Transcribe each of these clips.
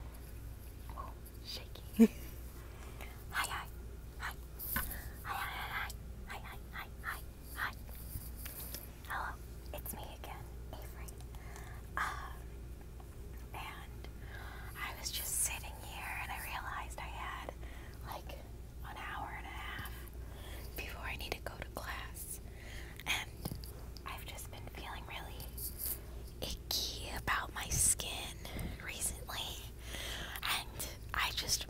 Oh, hi, hi, hi, hi, hi, hi, hi, hi, hi, hi, Hello, it's me again, Avery. Um, and I was just sitting here, and I realized I had like an hour and a half before I need to go to class, and I've just been feeling really icky about my skin recently, and I just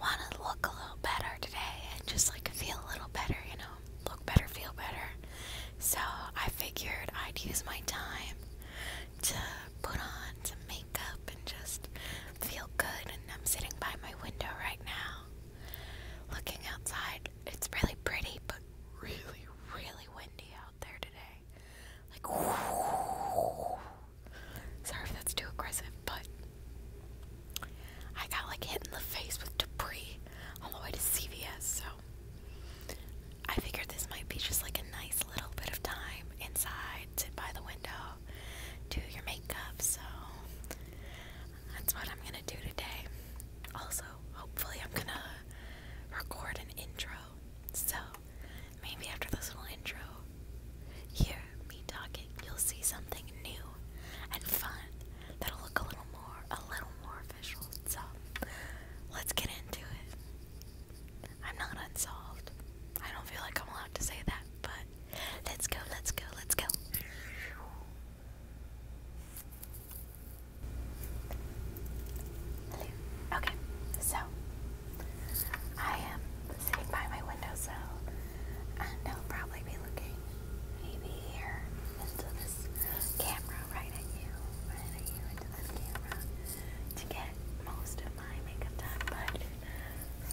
want to look a little better today and just like feel a little better, you know, look better, feel better. So I figured I'd use my time to put on some makeup and just feel good. And I'm sitting by my window right now, looking outside. It's really pretty, but really, really windy out there today. Like, sorry if that's too aggressive, but I got like hit in the face with debris on the way to CVS, so I figured this might be just like a nice little bit of time inside, sit by the window, do your makeup, so that's what I'm gonna do today. Also, hopefully I'm gonna record an intro. So maybe after this little intro, hear me talking, you'll see something new and fun that'll look a little more, a little more official. So let's get into it. I'm not unsolved. I don't feel like I'm allowed to say that, but let's go, let's go, let's go. Hello. Okay, so I am sitting by my windowsill and I'll probably be looking maybe here into this camera right at you, right at you into this camera to get most of my makeup done. But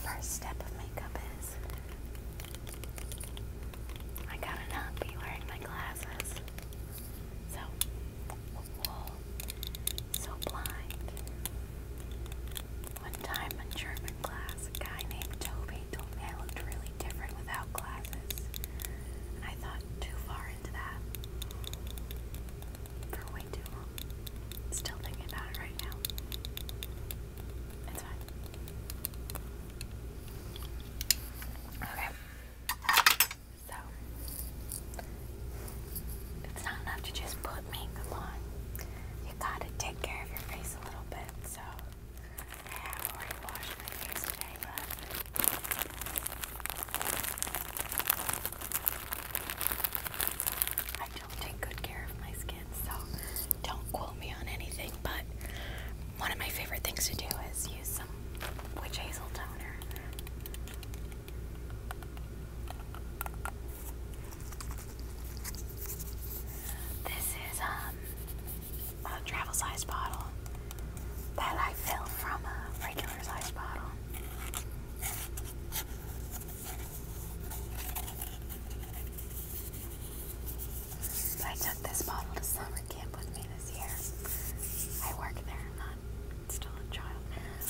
first step of makeup is I gotta not be wearing my glasses. So wool, so blind. One time in German class, a guy named Toby told me I looked really different without glasses. And I thought too far into that for way too long. Still thinking about it right now. It's fine. Okay. So it's not enough to just put makeup on. You gotta take care of your face a little bit. So I have already washed my face today, but I don't take good care of my skin, so don't quote me on anything, but one of my favorite things to do is use some witch hazel toner. This is um, a travel size bottle that I fill from a regular size bottle. I took this bottle to Summer camp with me this year. I work there, I'm still a child,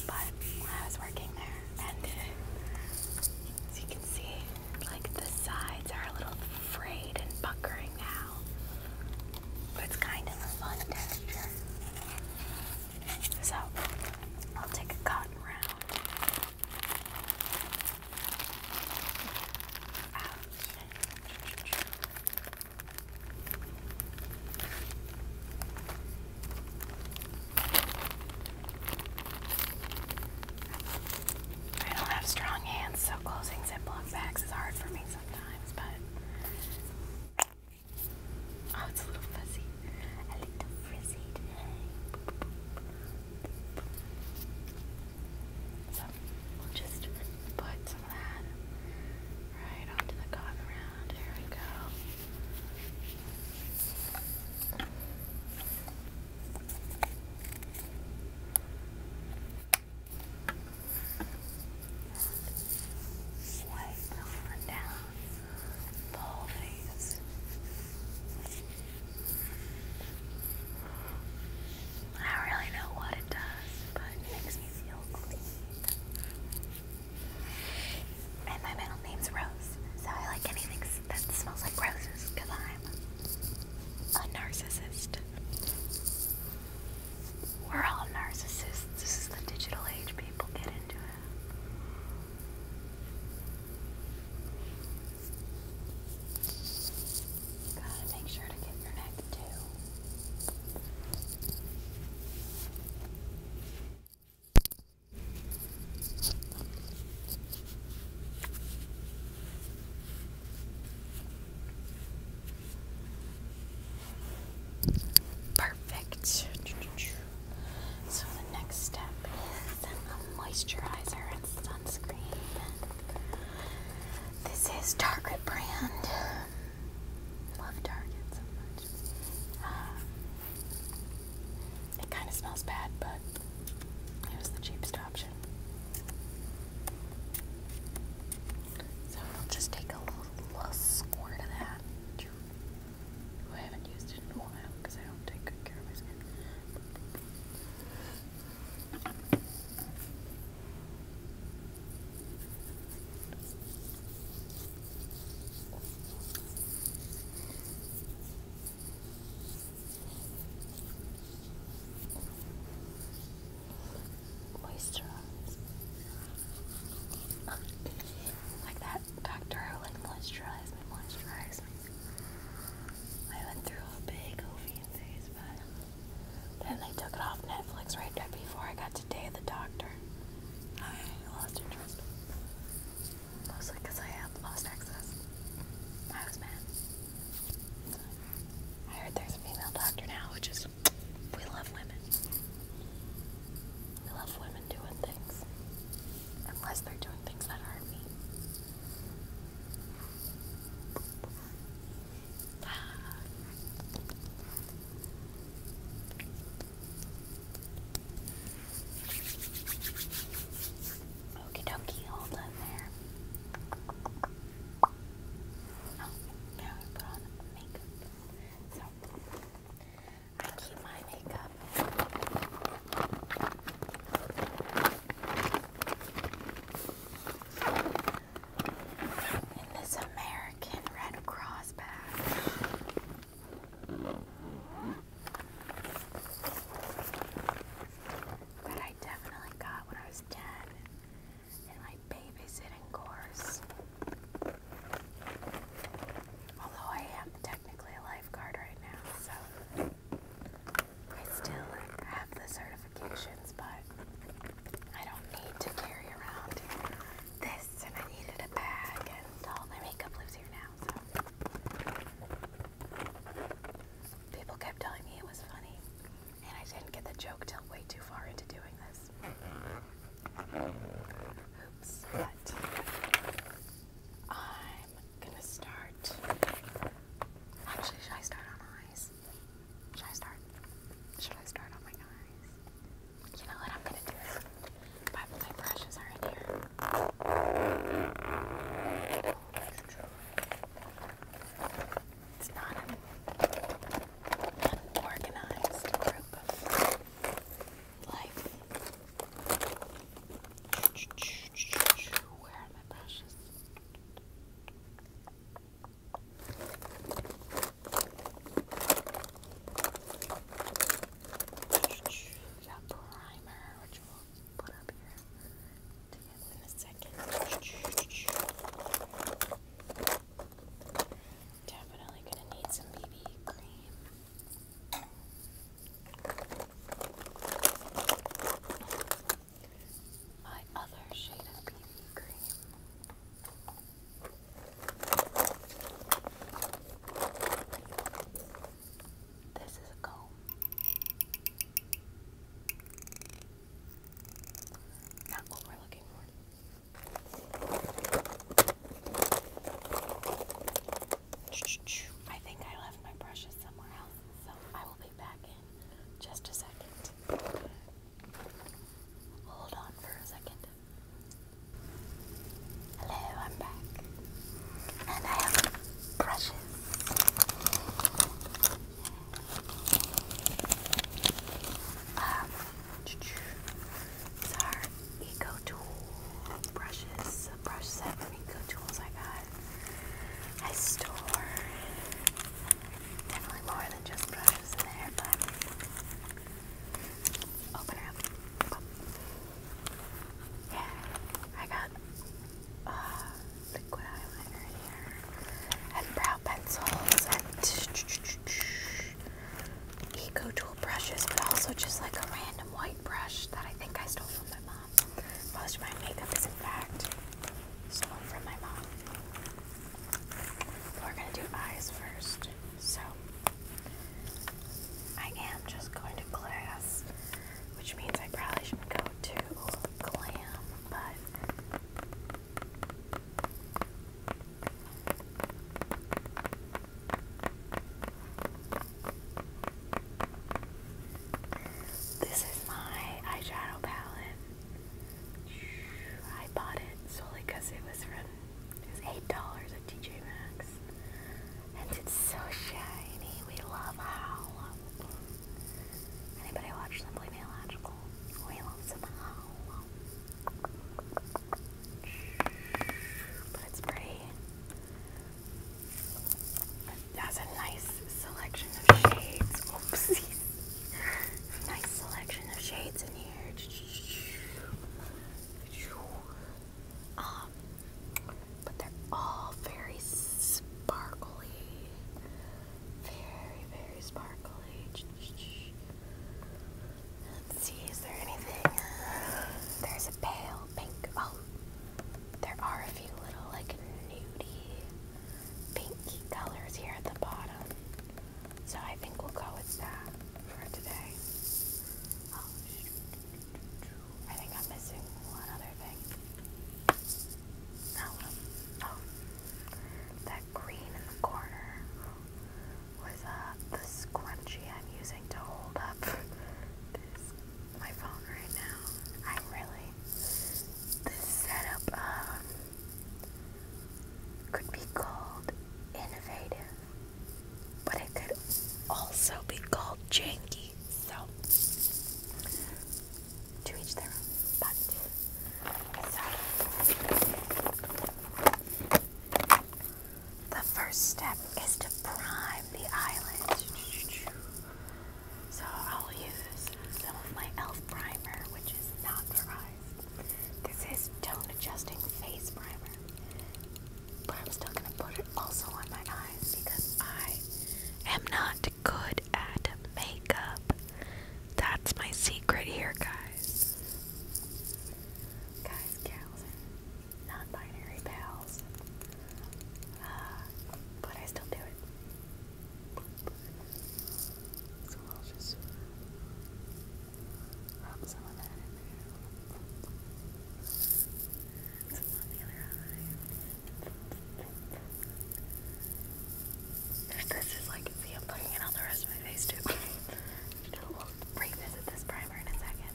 but I was working there, and as you can see, like the sides are a little frayed and buckering now. But it's kind of a fun texture. So, I'll take a cotton round. Ouch. I don't have strong hands, so closing Ziploc bags is hard for me sometimes, but. Oh, it's a little fuzzy. A little frizzy we'll just put some of that right onto the cotton round. There we go. Swipe on down whole face. I don't really know what it does, but it makes me and my middle name's Rose, so I like anything that smells like roses because I'm a narcissist. We're all narcissists. This is the digital age, people get into Gotta make sure to get your neck too. Perfect. So the next step is a moisturizer and sunscreen. This is Target brand. love Target so much. Um, it kind of smells bad, but it was the cheapest option. So we'll just take a little squirt of that. I haven't used it in a while because I don't take good care of my skin. Moisturize. like that doctor like moisturized me, moisturized me. I went through a big Ovian phase, but then they took it off Netflix right before I got to Day of the Doctor. I lost interest. Mostly because I had lost access. I was mad. I heard there's a female doctor now, which is, we love women. We love women doing things. Unless they're doing things that hurt me. Okie dokie, hold on there. Oh, now I put on makeup. So, I keep my makeup in this American Red Cross bag. That I definitely got when I was 10 in my babysitting course. Although I am technically a lifeguard right now, so I still have the certification, but I don't need to carry around this, and I needed a bag, and all my makeup lives here now, so. People kept telling me it was funny, and I didn't get the joke till way too far into doing this. Oops, but I'm gonna start. Actually, should I start on eyes? Should I start? Should I start on my eyes? You know what I'm gonna do? My, brushes are in here. It's not an unorganized group of life. Where are my brushes? That primer, which we'll put up here to in a second. Definitely gonna need some BB cream. My other shade of BB cream. This is a comb. Not what we're looking for. I think I left my brushes somewhere else, so I will be back in just a second. Hold on for a second. Hello, I'm back. And I have brushes. Um, these Eco Tool brushes, a from Eco Tools I got. I store definitely more than just brushes in there, but Open her up. Yeah, I got uh, liquid eyeliner here, and brow pencils, and eco tool brushes, but also just like a random white brush that I think I stole from my mom. Most of my makeup is, in fact, stolen from my mom. We're gonna do eyes first. So, I am just going to class, which means I probably shouldn't go to glam, but this is my eyeshadow palette. I bought it solely because it was from it's eight dollars at TJ Maxx, and it's so shiny. We love Howl. Anybody watch Simply Magical? We love some Howl. But it's pretty. That's a nice selection of shades. Oopsies. Nice selection of shades in here. Um, they're all very sparkly. Very, very sparkly. see, is there anything? There's a pale pink. Oh, there are a few little like nudie pinky colors here at the bottom. So I think we'll go with that for today. I think I'm missing one other thing. Oh, oh. that green in the corner was uh, the scrunchie I'm using to hold up my phone right now. I'm really this setup um could be called innovative, but it could also be called janky. So, to each their own. But, the first step is to prime the eyelids. So, I'll use some of my e.l.f. primer, which is not their eyes. This is tone adjusting face primer. But I'm still gonna put it also on my eyes because I am not good at makeup. That's my secret here, guys. Guys, gals, and binary pals. Uh, but I still do it this is like, see, I'm putting it on the rest of my face too. we'll revisit this primer in a second.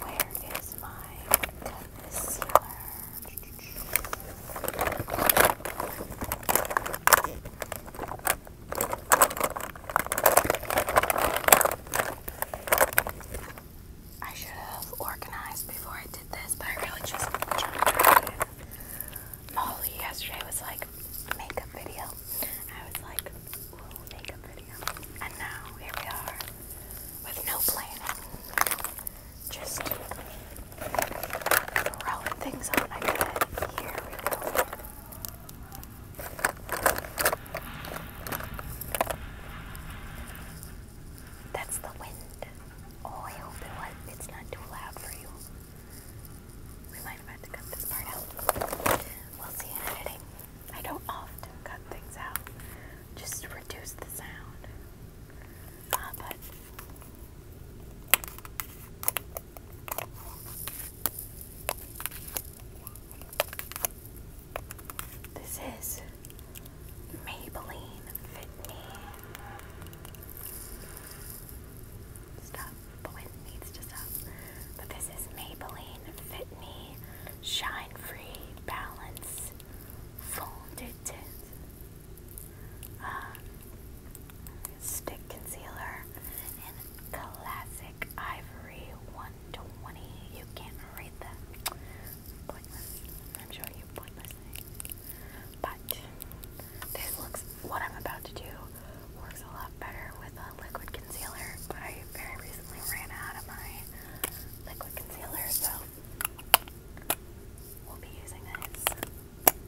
where is my concealer? I should have organized before I did this, but I really just tried it. Molly yesterday was like makeup video. I was like, makeup video. And now here we are with no planning. Just Rolling things on my bed. Here we go. That's the wind. Oh, I hope it was, it's not too loud for you. We might have had to cut this part out. We'll see in editing. I don't often cut things out. Just reduce the sound this is Maybelline Fit Me. Stop. The wind needs to stop. But this is Maybelline Fit Me Shine Free Balance Folded um, stick concealer in classic ivory 120. You can't read that. I'm showing sure you pointless But this looks, what I'm about to do works a lot better with a liquid concealer, but I very recently ran out of my liquid concealer, so we'll be using this. Okay.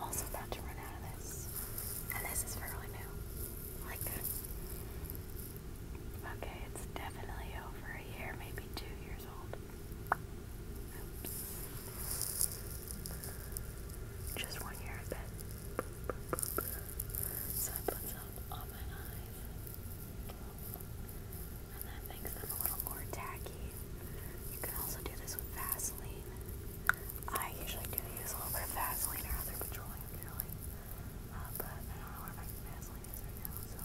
also about to run out of this. And this is fairly new. Like Okay, it's definitely over a year, maybe two years old. Just one year, I bet. So I put some on my eyes. And that makes them a little more tacky. You can also do this with Vaseline. I usually do use a little bit of Vaseline or other petroleum jelly. Uh, but I don't know where my Vaseline is right now, so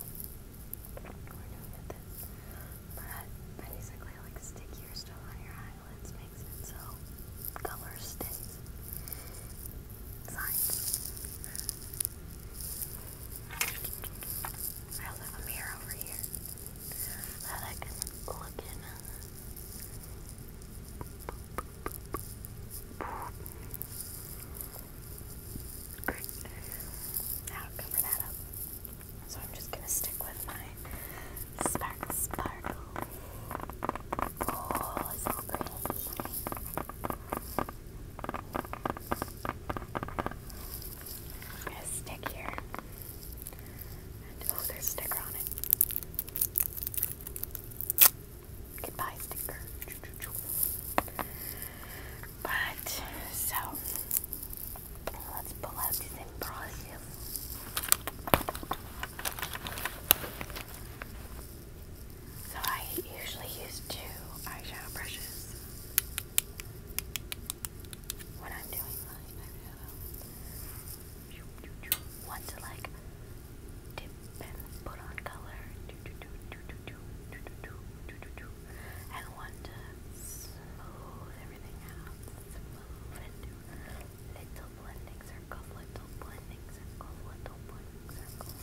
we're doing it then. But basically, like stickier stuff on your eyelids makes it so color stays. Science. I also have a mirror over here that I can look in. Great. Now cover that up. So I'm just gonna stick with my spark sparkle. Oh, so pretty. I'm gonna stick here. And, oh, a sticker on it. Goodbye, sticker. But, so, let's pull out this imbrosium. So I usually use two eyeshadow brushes when I'm doing mine, I really to like dip and put on color, and want to smooth everything out, little blending circles, little blending circles, little blending circles.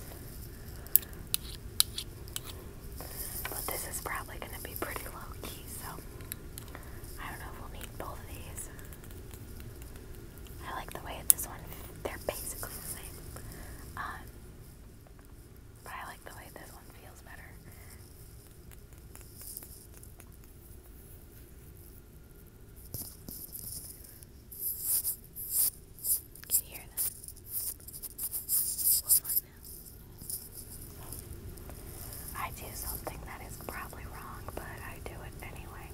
But this is probably going to be pretty low key, so I don't know if we'll need both of these. I like the way this one, they're basically the same. Um, but I like the way this one feels better. Can you hear that? I do something that is probably wrong, but I do it anyway.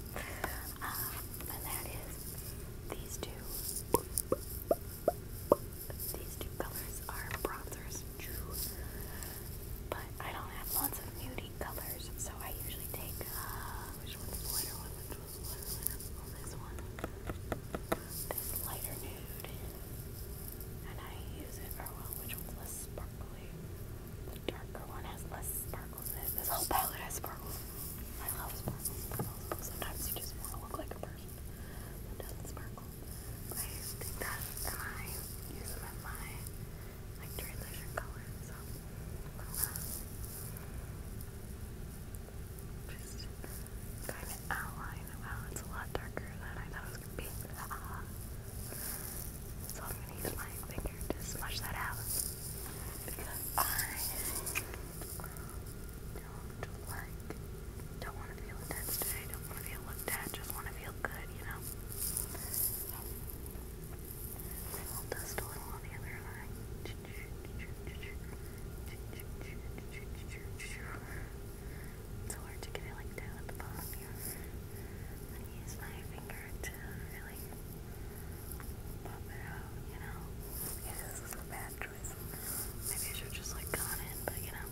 Um, and that is these two. These two colors are bronzers, true. But I don't have lots of nudie colors, so I usually take uh, which one, this one, this lighter nude nude, and I use it for one which one's less sparkly. The darker one has less sparkles in it. This whole palette has sparkles. I love sparkles, Sometimes you just want to look like a person that doesn't sparkle. I take that and I use them in my like transition color. So just kind of outline. Wow, it's a lot darker than I thought it was going to be. Uh-huh. So I'm going to use my finger to smush that out. I don't like, don't want to feel intense today, don't want to feel looked at, just want to feel good, you know? dust a little on the other eye. It's hard to get it like down at the bottom here. I use my finger to really pop it out, you know. Yeah, this a bad choice. Maybe I just like gone in, but you know,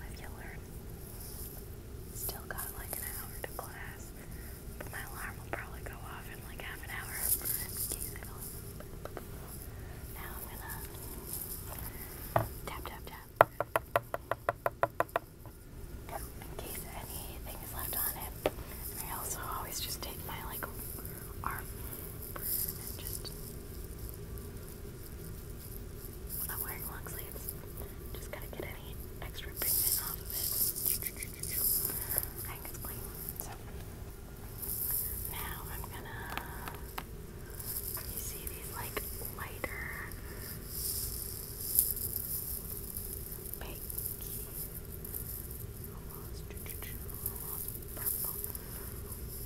live you learn. Still got like an hour to class, but my alarm will probably go off in like half an hour. I'm now I'm gonna tap, tap, tap. In case anything is left on it. I also always just take my like arm and just I'm wearing long sleeves. Just gotta get any extra pigment off of it. I clean. Now I'm gonna. You see these like lighter pinky, almost, purple,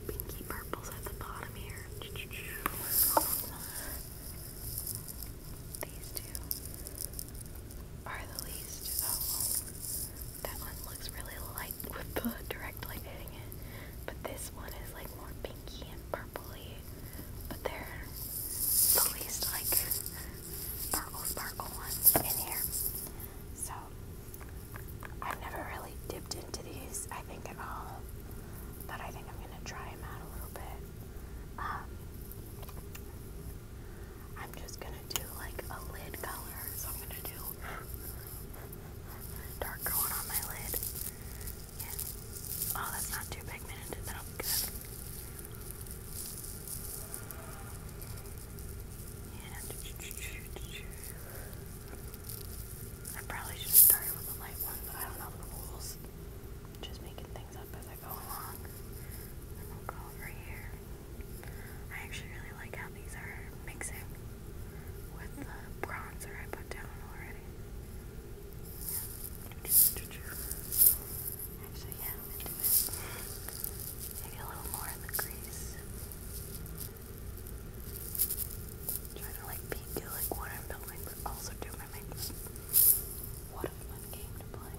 pinky purples at the bottom here. These two are the least. Oh, that one looks really light like with the direct light it. But this one is like more pinky and purpley. But they're the least like sparkle sparkle ones in here. So I've never really dipped into these, I think, at all. But I think I'm gonna try them out a little bit. Um, I'm just gonna do like a lid color. So I'm gonna do dark going on my lid. Oh, that's not too pigmented. That'll be good. Yeah. I probably should have started with the light one, but I don't know the rules. just making things up as I go along. over here. I actually really like how these are mixing with the bronzer I put down already. yeah, I'm into it. Maybe a little more in the crease. Trying to like peek at what I'm building, but also do my makeup. What a fun game to play.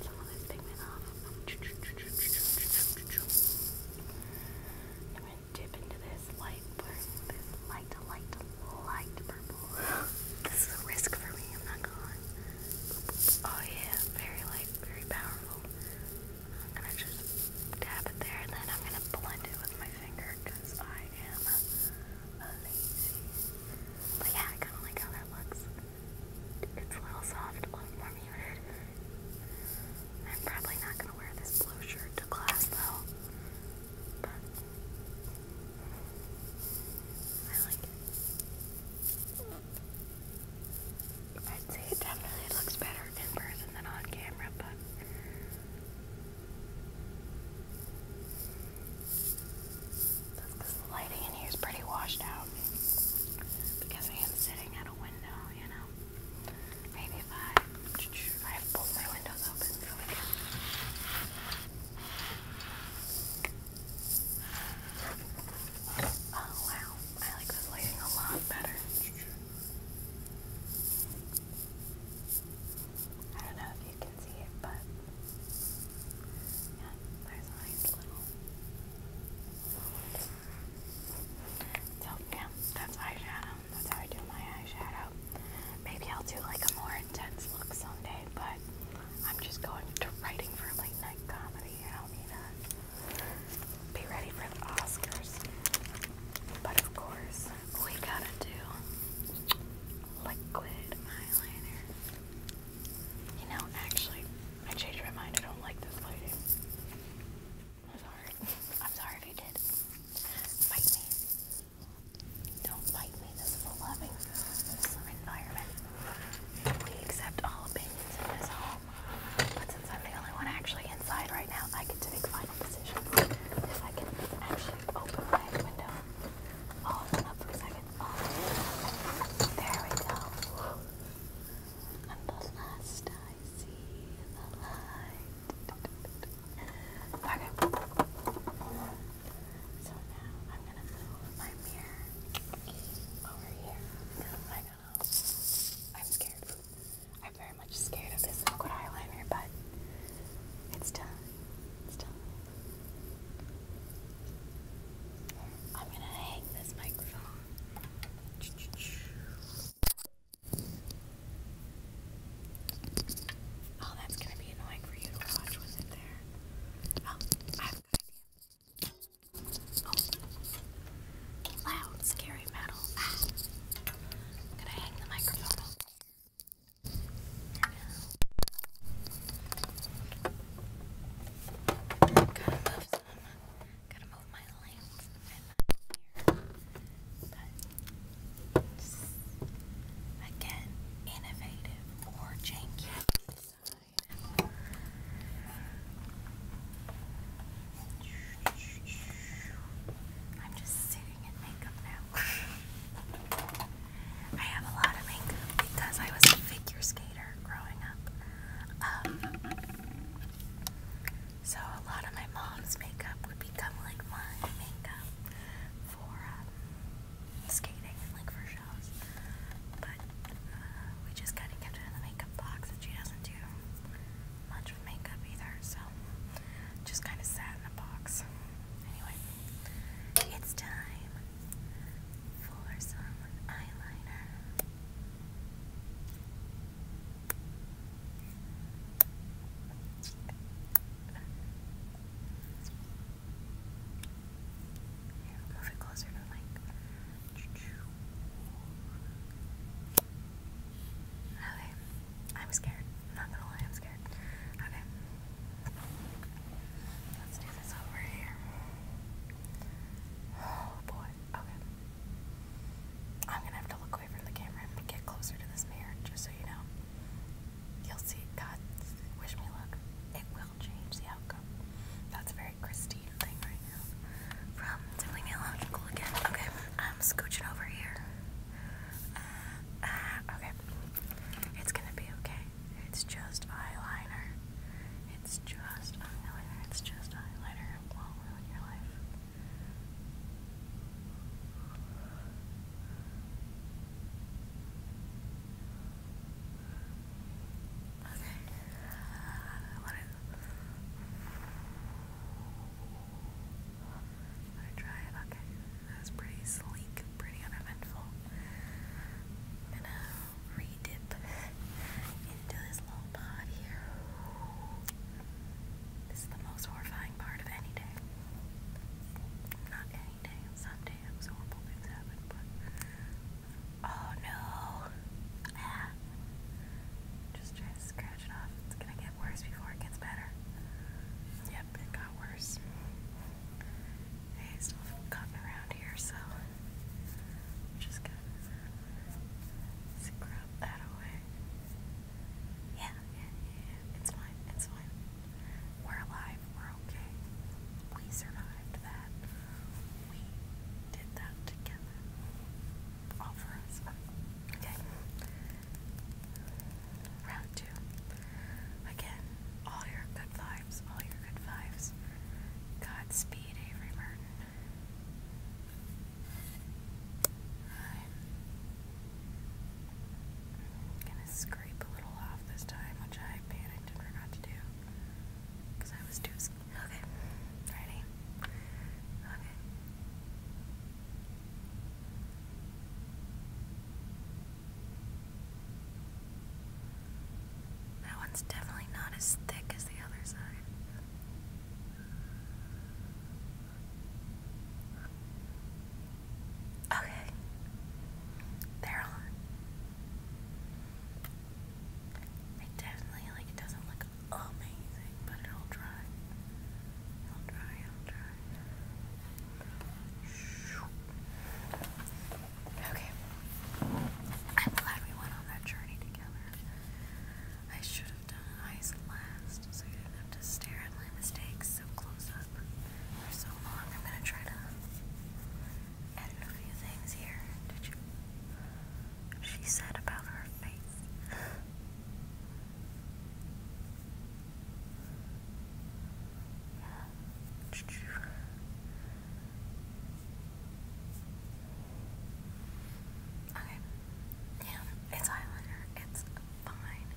I'm going to dip into this light, this light, light, light purple. this is a risk for me, I'm not going. Oh yeah, very light, very powerful. I'm going to just dab it there and then I'm going to blend it with my finger because I am lazy. But yeah, I kind of like how that looks. It's a little soft, a little more muted. I'm probably not going to wear this blue shirt to class though. But I like it. I'd say it definitely looks better in person than on camera, but because the lighting in here is pretty washed out. Because I am sitting at a window, you know. Maybe if I, I have both my windows open Oh wow, I like this lighting a lot better. I don't know if you can see it, but yeah, there's a nice little. So yeah, that's eyeshadow. That's how I do my eyeshadow. Maybe I'll do like a more intense look someday, but I'm just going to writing for late night comedy. I don't be ready for the Oscars. But of course, we gotta do liquid eyeliner. You know, actually, I changed my mind. I don't like this lighting. I'm sorry. I'm sorry if you did. Fight me. Don't fight me. This is a loving environment. We accept all opinions in this home. But since I'm the only one actually inside right now, I get to make final decisions. If I can actually open my window, I'll for a second. There we go. And the last I see the light. Okay. So now I'm gonna move my mirror over here. I know. I'm scared. I'm very much scared of this liquid eyeliner, but it's done. It's done. I'm gonna hang this microphone. Oh, that's gonna be annoying for you to watch with it there. Oh, I have a good idea. Oh, loud, scary metal. Ah. gonna hang the microphone Gotta move some. Gotta move my lamp. but again, innovative or janky. Decide. I'm just sitting in makeup now. I have a lot of makeup because I was a figure skater skater growing up. Um, so a lot of my mom's makeup would become like my makeup for um, skating and like for shows. But uh, we just kind of kept it in the makeup box, and she doesn't do much with makeup either, so just kind of sat in a box. Anyway, it's time for some eyeliner. move it closer to the mic. Okay, I'm scared. not going I'm scared. Okay, let's do this over here. Oh boy. Okay. I'm gonna have to look away from the camera and get closer to this mirror, just so you know. You'll see. it cuts. wish me luck. It will change the outcome. That's a very Christine thing right now. From to leave me alone and cool again. Okay, I'm scooching over here. Uh, uh, okay, it's gonna be okay. It's just eyeliner. It's just eyeliner. It's just eyeliner. It won't ruin your life. Okay. Uh, what try it. Okay, that was pretty sleek, pretty uneventful. i re into this little pod here. This is the most horrifying part of any day. Not any day, some horrible things happen, oh no. Ah. Just try to scratch it off. It's gonna get worse before it gets better. Yep, it got worse. I still have around here, so I'm just gonna scrub that away. yeah, it's fine, it's fine. We're alive, we're okay. We survived that. We did that together. All for us. Okay. Round two. Again, all your good vibes, all your good vibes. Godspeed, Avery Martin. gonna scrape a little off this time, which I panicked and forgot to do. Because I was too scared. Okay. Ready? Okay. That one's definitely not as thick as the other side. Okay. they It definitely, like, doesn't look amazing, but it'll dry. It'll dry, it'll dry. Okay. I'm glad we went on that journey together. I should have done eyes last, so you didn't have to stare at my mistakes so close up for so long. I'm gonna try to edit a few things here. Did you? She said about her face. Yeah. Okay. Yeah, it's eyeliner. It's fine.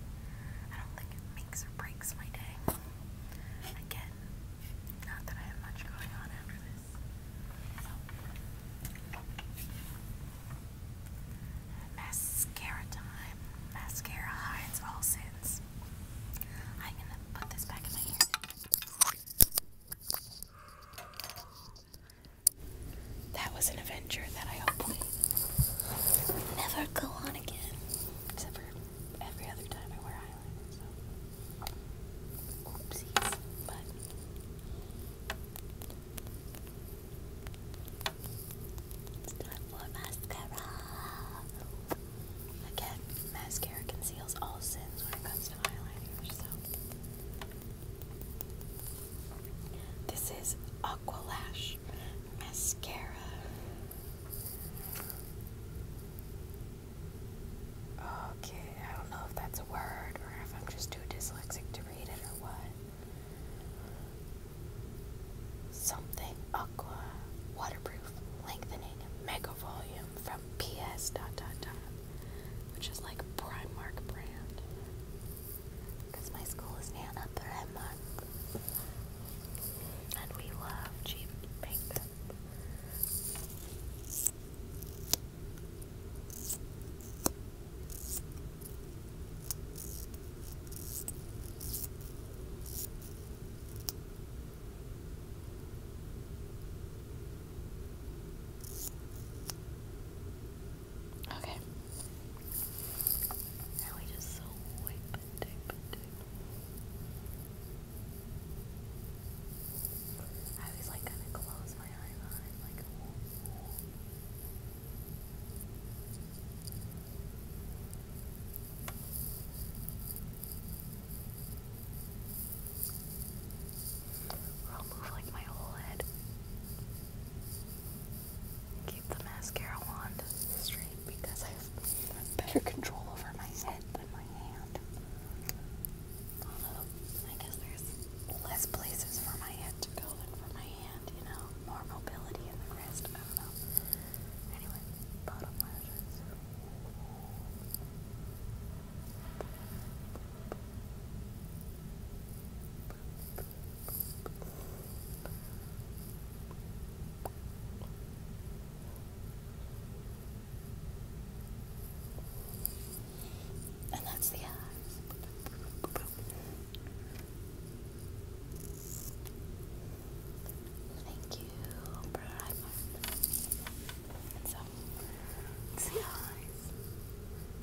I don't think it makes or breaks my day. Again, not that I have much going on after this. Mascara time. Mascara hides all sins. I'm gonna put this back in my ear. That was an adventure that I hope will never go on again. Except for every other time I wear eyeliner, oopsies. But it's time mascara. Again, mascara conceals all sins when it comes constant this is Aqualash mascara. Okay, I don't know if that's a word or if I'm just too dyslexic to read it or what. Something aqua waterproof lengthening mega volume PS dot dot dot, which is like Primark brand. Because my school is near a Primark. And we love cheap makeup. Okay. Now we just so wipe and tape and tape. I always like kind of close my eyes on it, like. I'll move like my whole head. Keep the mascara wand straight because I have better control over my head than my hand. I guess there's less places for my head to go than for my hand, you know? More mobility in the wrist, I don't know. Anyway, bottom lashes. And that's the eyes. Thank you, so, eyes.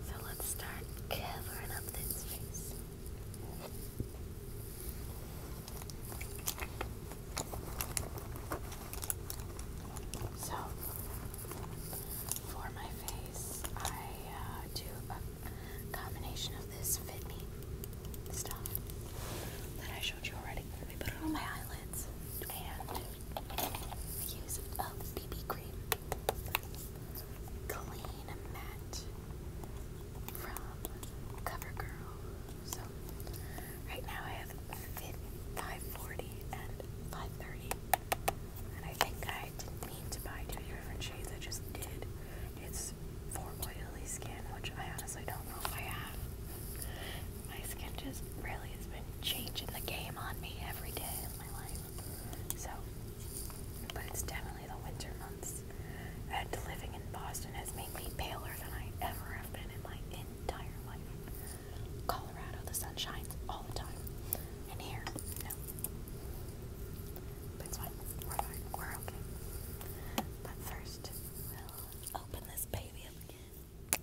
So let's start covering up this face. So, for my face, I uh, do a combination of this Fit stuff that I showed you already. We put it on my eyelids and use of oh, BB cream, clean matte from CoverGirl. So right now I have 540 and 530, and I think I didn't mean to buy two different shades. I just did. It's for oily skin, which I honestly don't know if I have. My skin just really has been changing the game on me every day of my life. So, but it's definitely the winter months. And living in Boston has made me paler than I ever have been in my entire life. Colorado, the sun shines all the time. And here, no. But it's fine. We're fine. We're okay. But 1st open this baby up again.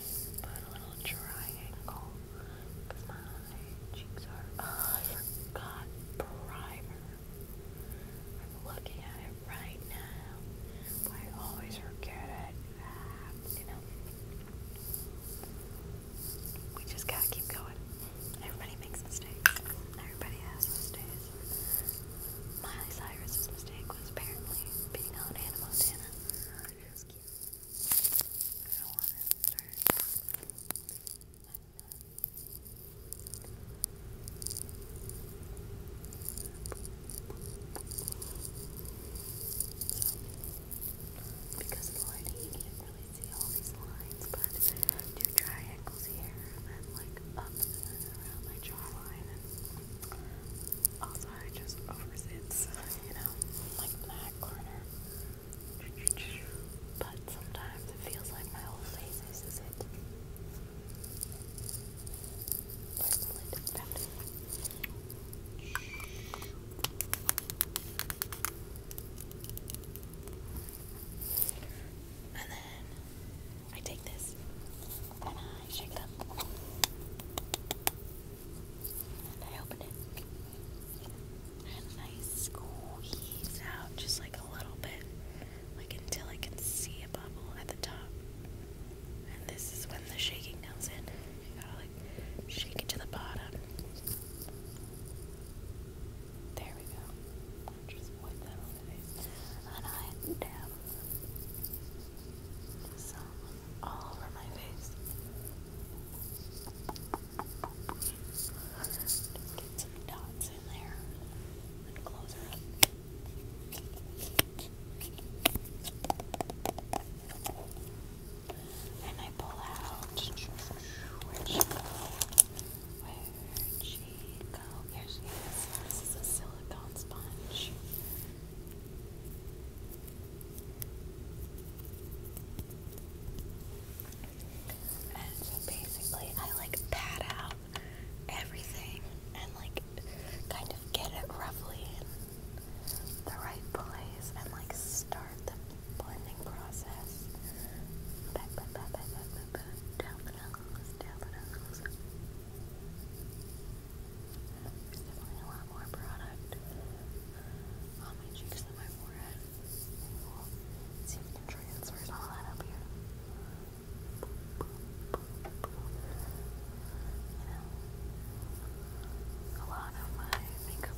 But a little triangle. Because my cheeks are. Oh, I forgot primer. I'm looking at it right now. But I always forget it. Ah, you know. We just gotta keep going. Everybody makes mistakes. Everybody has mistakes. Miley Cyrus's mistake was apparently being on Hannah Montana. She was cute. I because of you can't really see all these lines, but do triangles here and then like up around my jawline also, I just oversits, you know, like that corner. But sometimes it feels like my whole face is it. And then I take this and I shake up. And I open it. And I squeeze out just like a little bit, like until I can see a bubble at the top. And this is when the shaking comes in. You gotta like shake it to the bottom. There we go. Just wipe that on And I dab. Some all over my face. get some dots in there and And I pull out Where'd she go? Here she is. This is a silicone sponge. And so basically, I like pat out everything and like kind of get it roughly in the right place and like start the blending process. down the down the there's definitely a lot more product uh, on my cheeks than my forehead. see if we can transfer all that up here. You know, a lot of my makeup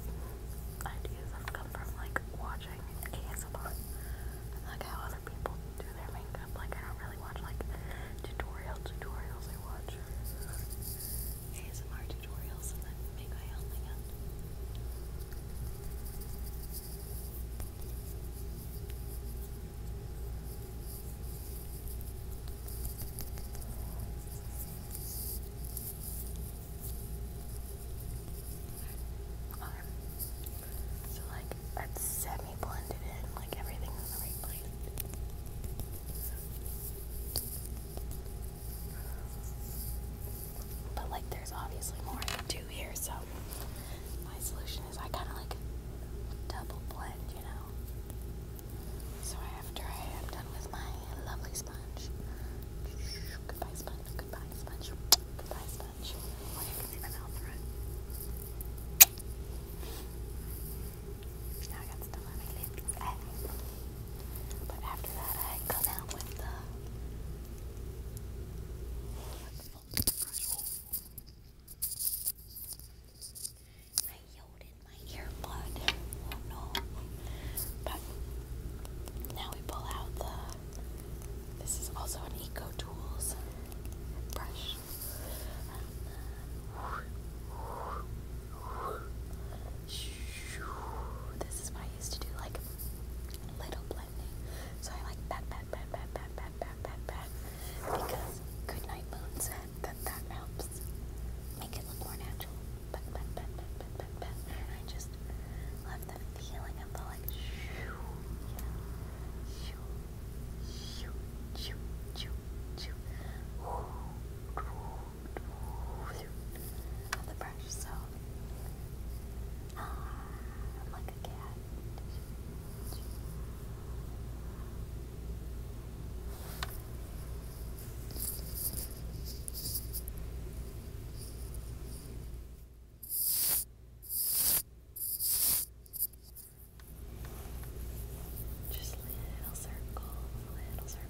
ideas come from like watching ASMR like how other people do their makeup. Like I don't really watch like tutorial tutorials. I watch ASMR tutorials So like that's semi blended in, like everything's in the right place. But like there's obviously more I can do here, so my solution is I kinda like double blend, you know. So after I am done with my lovely sponge. Goodbye sponge, goodbye sponge, goodbye sponge. Well you can see my mouth through now I got stuff on my But after that, I come out with the. I yelled in my earbud. Oh no. But now we pull out the. This is also an Eco Tools brush. Um, this is why I used to do like little blending. So I like pat, pat, pat, pat, pat, pat, pat, pat, pat. Because good night moon said that that helps make it look more natural. Pat, pat, pat, pat, pat, pat, pat. And I just love the feeling of the like shoo, yeah, shoo, shoo, shoo, shoo, shoo. Ooh, ooh on the brush, so uh, I'm like a cat. Just little circles, little circles.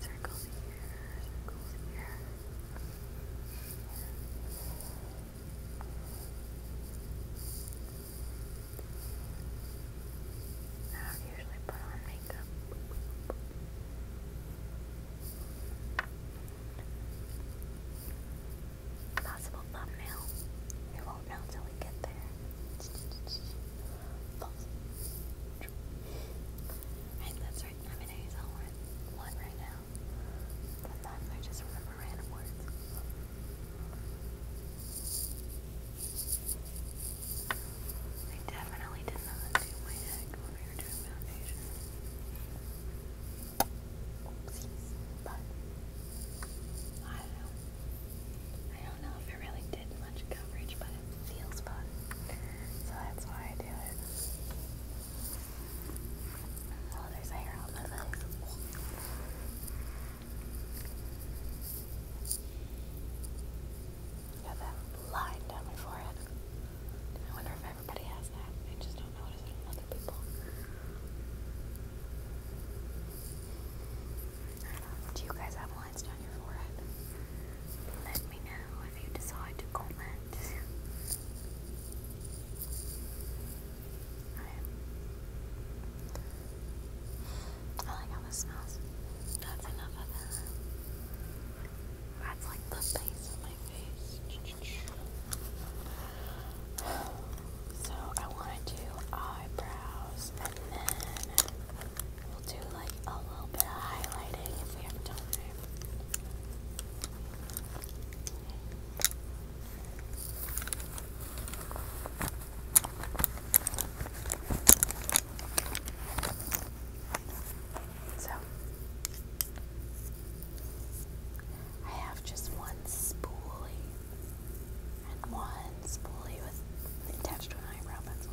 Circles here, circles here. I usually put on makeup. Possible thumbnail. We won't know till we get there. False. that's right. I'm an ASL one, one right now. Sometimes I just remember random words. I definitely didn't know my neck foundation. but I don't know. I don't know if never really did much coverage, but it feels fun. So that's why I do it. Oh, there's hair on my legs. Got that line down my forehead. I wonder if everybody has that. I just don't notice it in other people. Do you guys have lines Let me know if you decide to comment. I like how this smells. That's enough of that. That's like the base of my face. So I want to do eyebrows and then We'll do like a little bit of highlighting if we have time. So, I have just one spoolie and one lens with attached to an eyebrow pencil.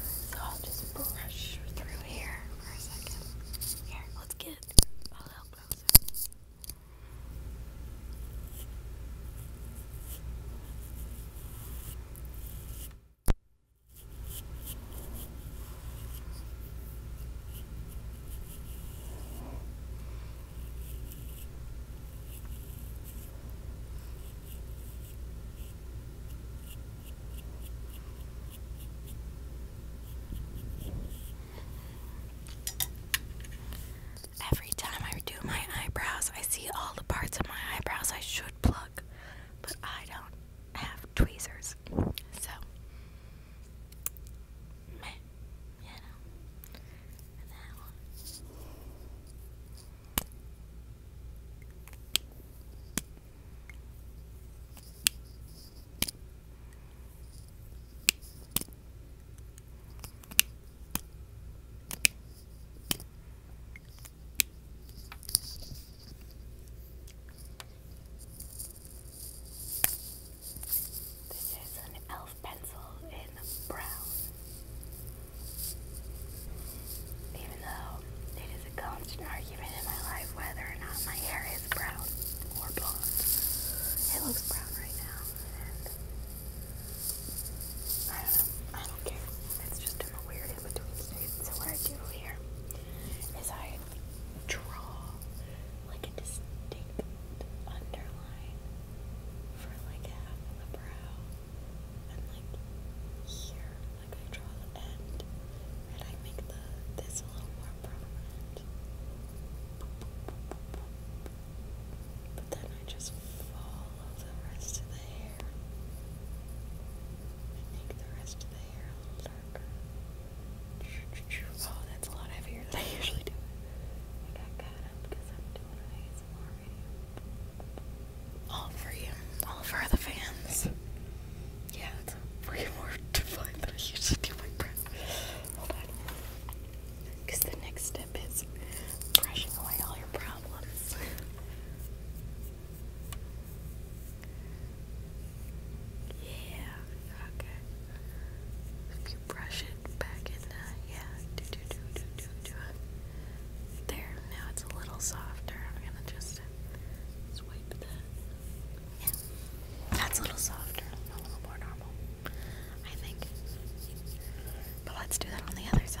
So I'll just brush through here for a second. Here, let's get a little closer. Every time I do my eyebrows, I see all the parts of my eyebrows I should pluck, but I don't have tweezers. So, meh, and that This is an pencil in brown. Even though it is a constant argument in my life whether or not my hair is brown or blonde. It looks brown right now, I don't know. I don't care. It's just in a weird in between state. So what I do here is I draw like a distinct underline for like half of the brow and like here, like I draw the end and I make the this a little more prominent. But then I just follow the rest of the hair and make the rest of the hair a little darker. Oh, that's a lot heavier than I usually do. I got caught up because I'm doing it. All for you. All for the fans. Yeah, way more defined than I usually do my breath. Hold on. Because the next step is brushing away all your problems. yeah, okay. If you brush it back in the, yeah, do do do do there, now it's a little softer. I'm gonna just swipe that. that's a little softer, a little more normal, I think. But let's do that on the other side.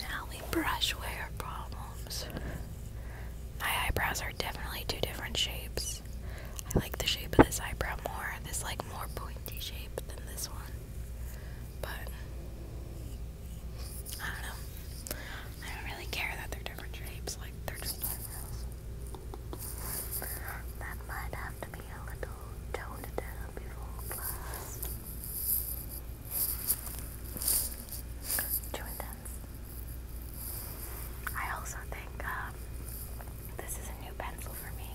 Now we brush wear problems. My eyebrows are definitely two different shapes. I like the shape of this eyebrow more. This like more pointy shape than this one. But I don't know. I don't really care that they're different shapes. Like they're just That might have to be a little toned down before Too intense. I also think um, this is a new pencil for me.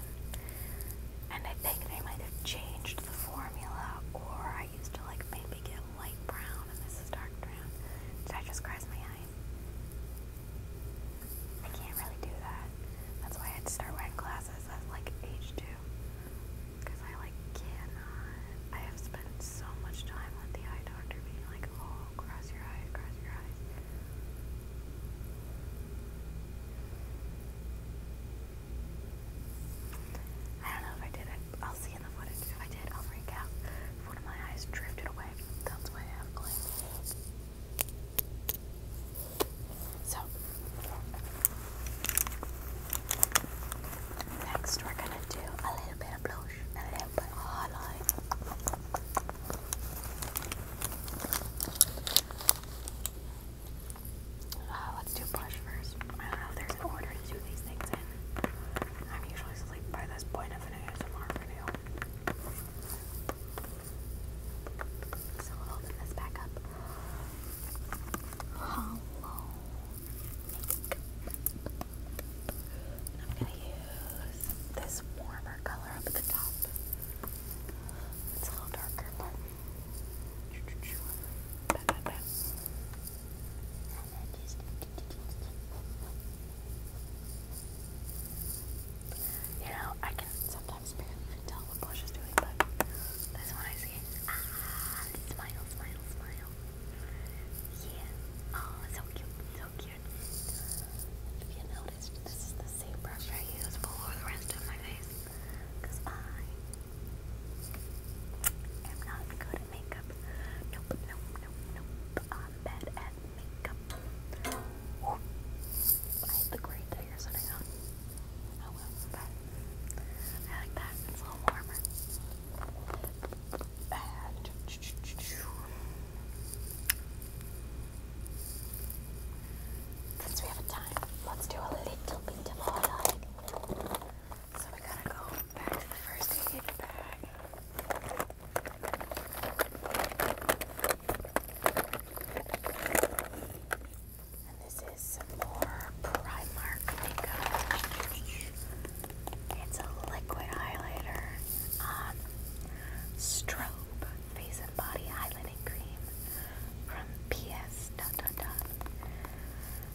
And I think they might have changed the formula, or I used to like maybe get light brown and this is dark brown. Did I just cross my eyes? I can't really do that. That's why I had to start wearing glasses at like age two. Because I like cannot. I have spent so much time with the eye doctor being like, oh, cross your eyes, cross your eyes. I don't know if I did it. I'll see in the footage. If I did, I'll freak out. If one of my eyes drifted away, that's why I have glass. So, next we're gonna do a little bit of blush a little bit of highlight. Uh, let's do blush first. I don't know if there's an order to do these things in. I'm usually asleep by this point of an ASMR video. So we'll open this back up. I'm gonna use this warmer color up at the top. It's a little darker, but you know, I can sometimes barely tell what blush is doing, but this one I see. Ah, smile, smile, smile. Yeah. Oh, so cute, so cute. If you noticed, this is the same brush I use for the rest of my face. Because I I'm not good at makeup. Nope, nope, nope, nope. I'm bad at makeup. I hate the grate that you're sitting on. Oh well, but I like that. It's a little warmer. And since we have time, let's do a little bit of highlight. So we gotta go back to the first aid bag. And this is some more Primark makeup. It's a liquid highlighter. Um, strobe face and body highlighter setting cream from PS dot dot dot.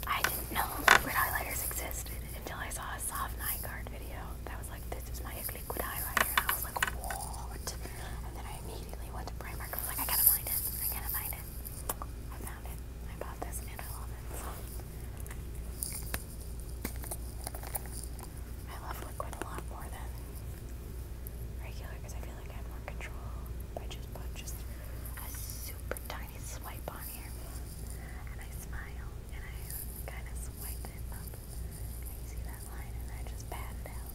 I didn't know liquid highlighters existed until I saw a soft night card video that was like, this is my liquid highlighter. And I was like, what? And then I immediately went to Primark. I was like, I gotta find it. I gotta find it. I found it. I bought this and I love it. So. I love liquid a lot more than regular because I I have more control by just put just a super tiny swipe on here. And I smile and I kind of swipe it up. you see that line and I just pat it out.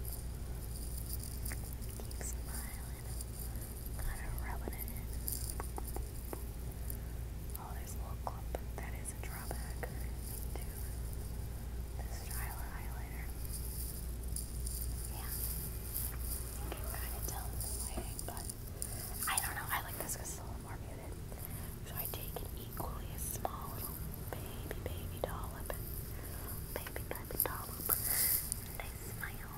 Keep smiling. Kind of rubbing Oh, there's a little clump. That is a drawback this style of highlighter. Yeah can kind of tell in the but I don't know. I like this because it's a little more muted. So I take an equally small little baby, baby dollop. Baby, baby dollop. And I smile.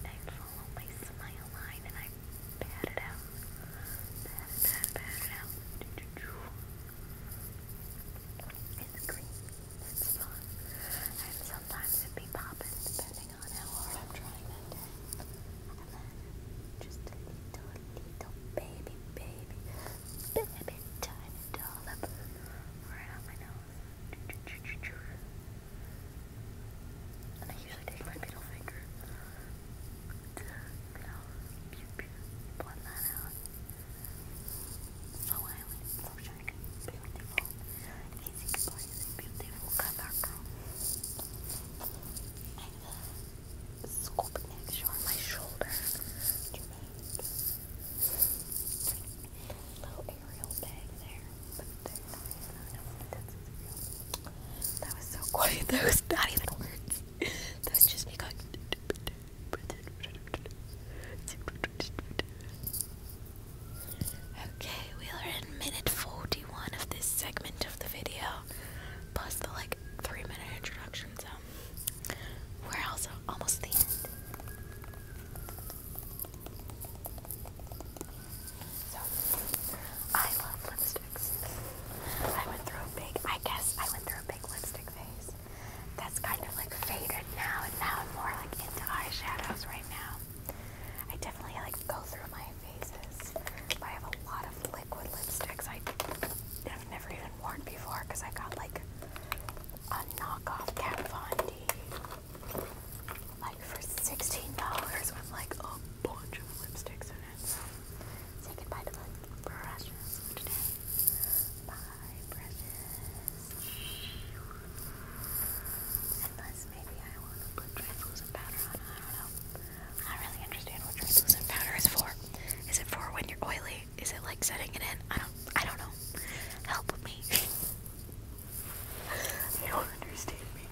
And I follow my smile line and I pat it out. Pat pat, pat it out. It's green. It's fun. I have sometimes it'd be popping depending on how hard I'm trying that day. just a little, little baby, baby, baby tiny dollop right on my nose. And I usually take my middle finger to, you know, that out. So I would look beautiful amazing for this beautiful color girl. my shoulder Little aerial bag there. That was so cool. That was not even words. That was just me going. Okay, we are in minute 41 of this segment of the video, plus the like 3 minute introduction, so we're also almost the end. So, I love lipsticks. I went through a big, I guess I went through a big lipstick phase. That's kind of like faded now, and now I'm more like into eyeshadows right now. I definitely like go through my phases. I have a lot of liquid lipsticks I have never even worn before because I got like a knockoff Kat Von D like for $16 with like a bunch of lipsticks in it. So say goodbye to the brushes today. Bye brushes. Unless maybe I want to put translucent powder on. I don't know. I really understand what translucent powder is for. Is it for when you're oily? Is it like setting it in? I don't. I don't know. Help me. you don't understand me.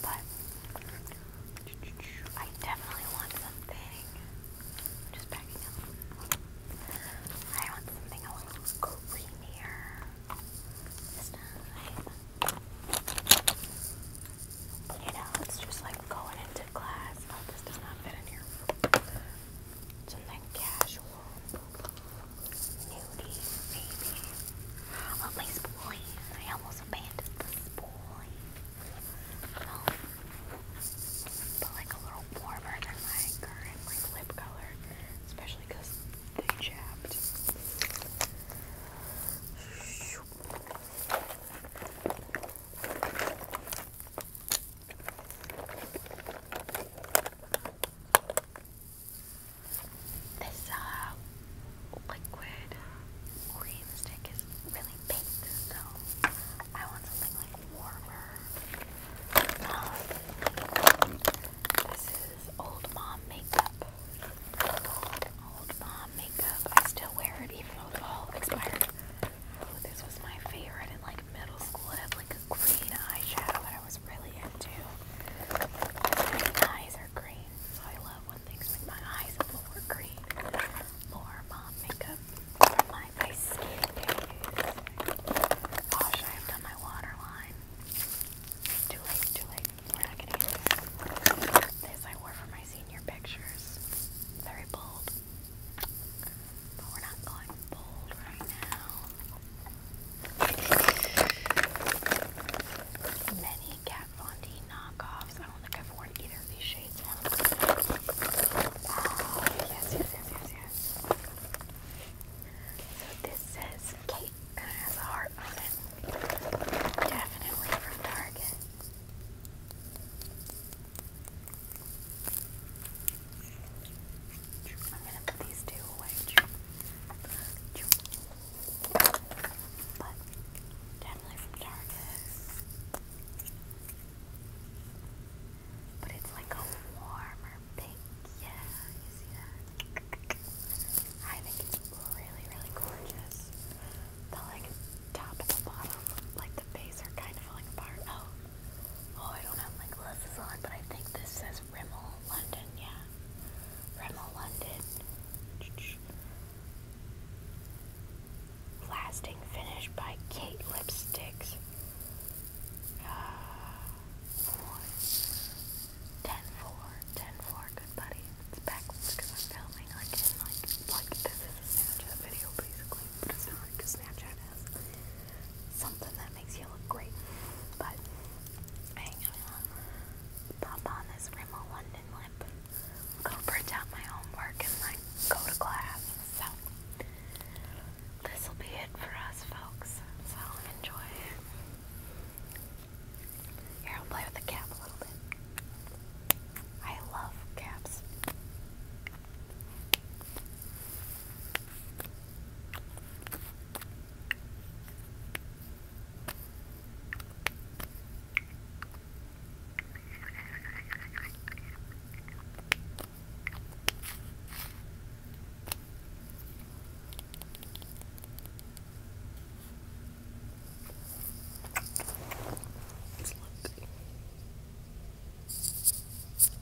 But I definitely want something. Just backing up. I want something a little creamier you know, it's just like going into class. Oh, this does not fit in here. Something casual. Nudie, maybe. At least boy. I almost abandoned this boy. Oh. But like a little warmer than my current like lip color especially because they chapped. This uh, liquid cream stick is really pink, so I want something like warmer this is old mom makeup. Old mom makeup. I still wear it even though it's all expired. Oh, this was my favorite in like middle school. It had like a green eyeshadow that I was really into. My eyes are green, so I love when things make my eyes a little more green. More mom makeup my ice skating my Too late, too late. We're not gonna this. I wore for my senior pictures. Very bold. But we're not going bold right now. Many Kat Von D knockoffs. I don't think I've worn either of these shades yes, yes, yes, yes, yes. So this says Kate has a heart on it. Definitely from Target. I'm gonna put these two away. But definitely from Target. But it's like a warmer Thank you. see that? I think it's really, really gorgeous. The like top and the bottom, like the face, are kind of falling apart. Oh, oh, I don't have my glasses on, but I think this says Rimmel London. Yeah, Rimmel London. Lasting finish by Kate Lipsticks four, ten, four, ten, four. Good buddy. It's backwards because I'm filming like like like this is a video basically, but it's not because Snapchat something that makes you look great. But hang on, pop on this Rimmel London lip, go print out my homework, and like go to class. So this will be it for us, folks. So enjoy. Here, I'll play with the cap a little bit. I love caps. Let's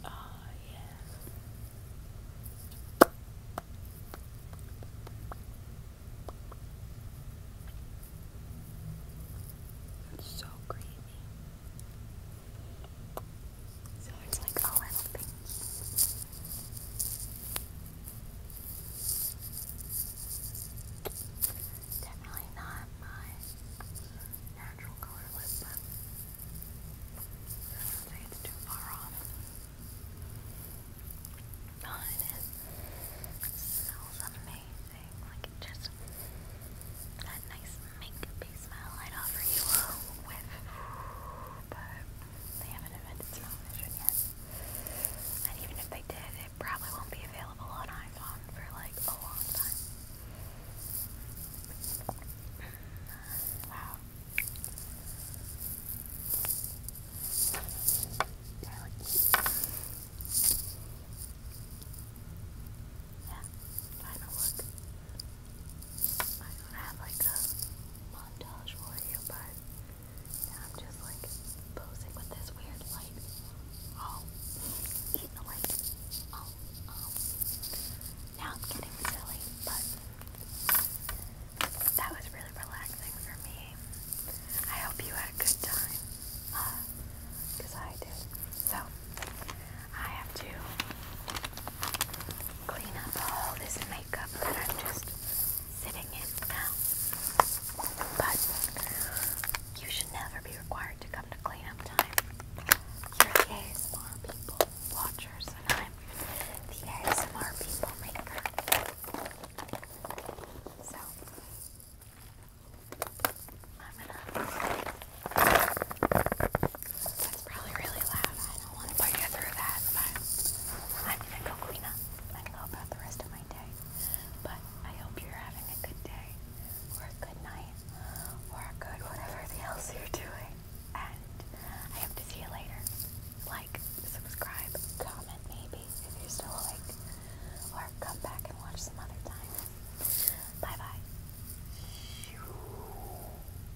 Oh, yeah. It's so creamy. So it's like a little thing. Definitely not my natural color lip, but I it's too far off. Oh, it is. smells amazing. Like just that nice mink base metal I'd offer you a but they haven't invented smoke vision yet. And even if they did, it probably won't be available on iPhone for like a long time. Wow. Yeah, final look. I don't have like a montage for you, but I'm just like posing with this weird light. Oh, eating the light. Oh, oh. Now i getting silly, but that was really relaxing for me. I hope you had a good time. Because uh, I did. So, I have to clean up all this makeup that I'm just sitting in now. But you should never be required to come to cleanup time. You're ASMR people watchers, and I'm the ASMR people maker. So I'm gonna that's probably really loud. I don't want to put you through that, but I'm gonna go clean up and go about the rest of my day. But I hope you're having a good day, or a good night, or a good whatever else you're doing. And I hope to see you later. Like, subscribe, comment maybe if you're still awake, or come back and watch some other time. Bye bye.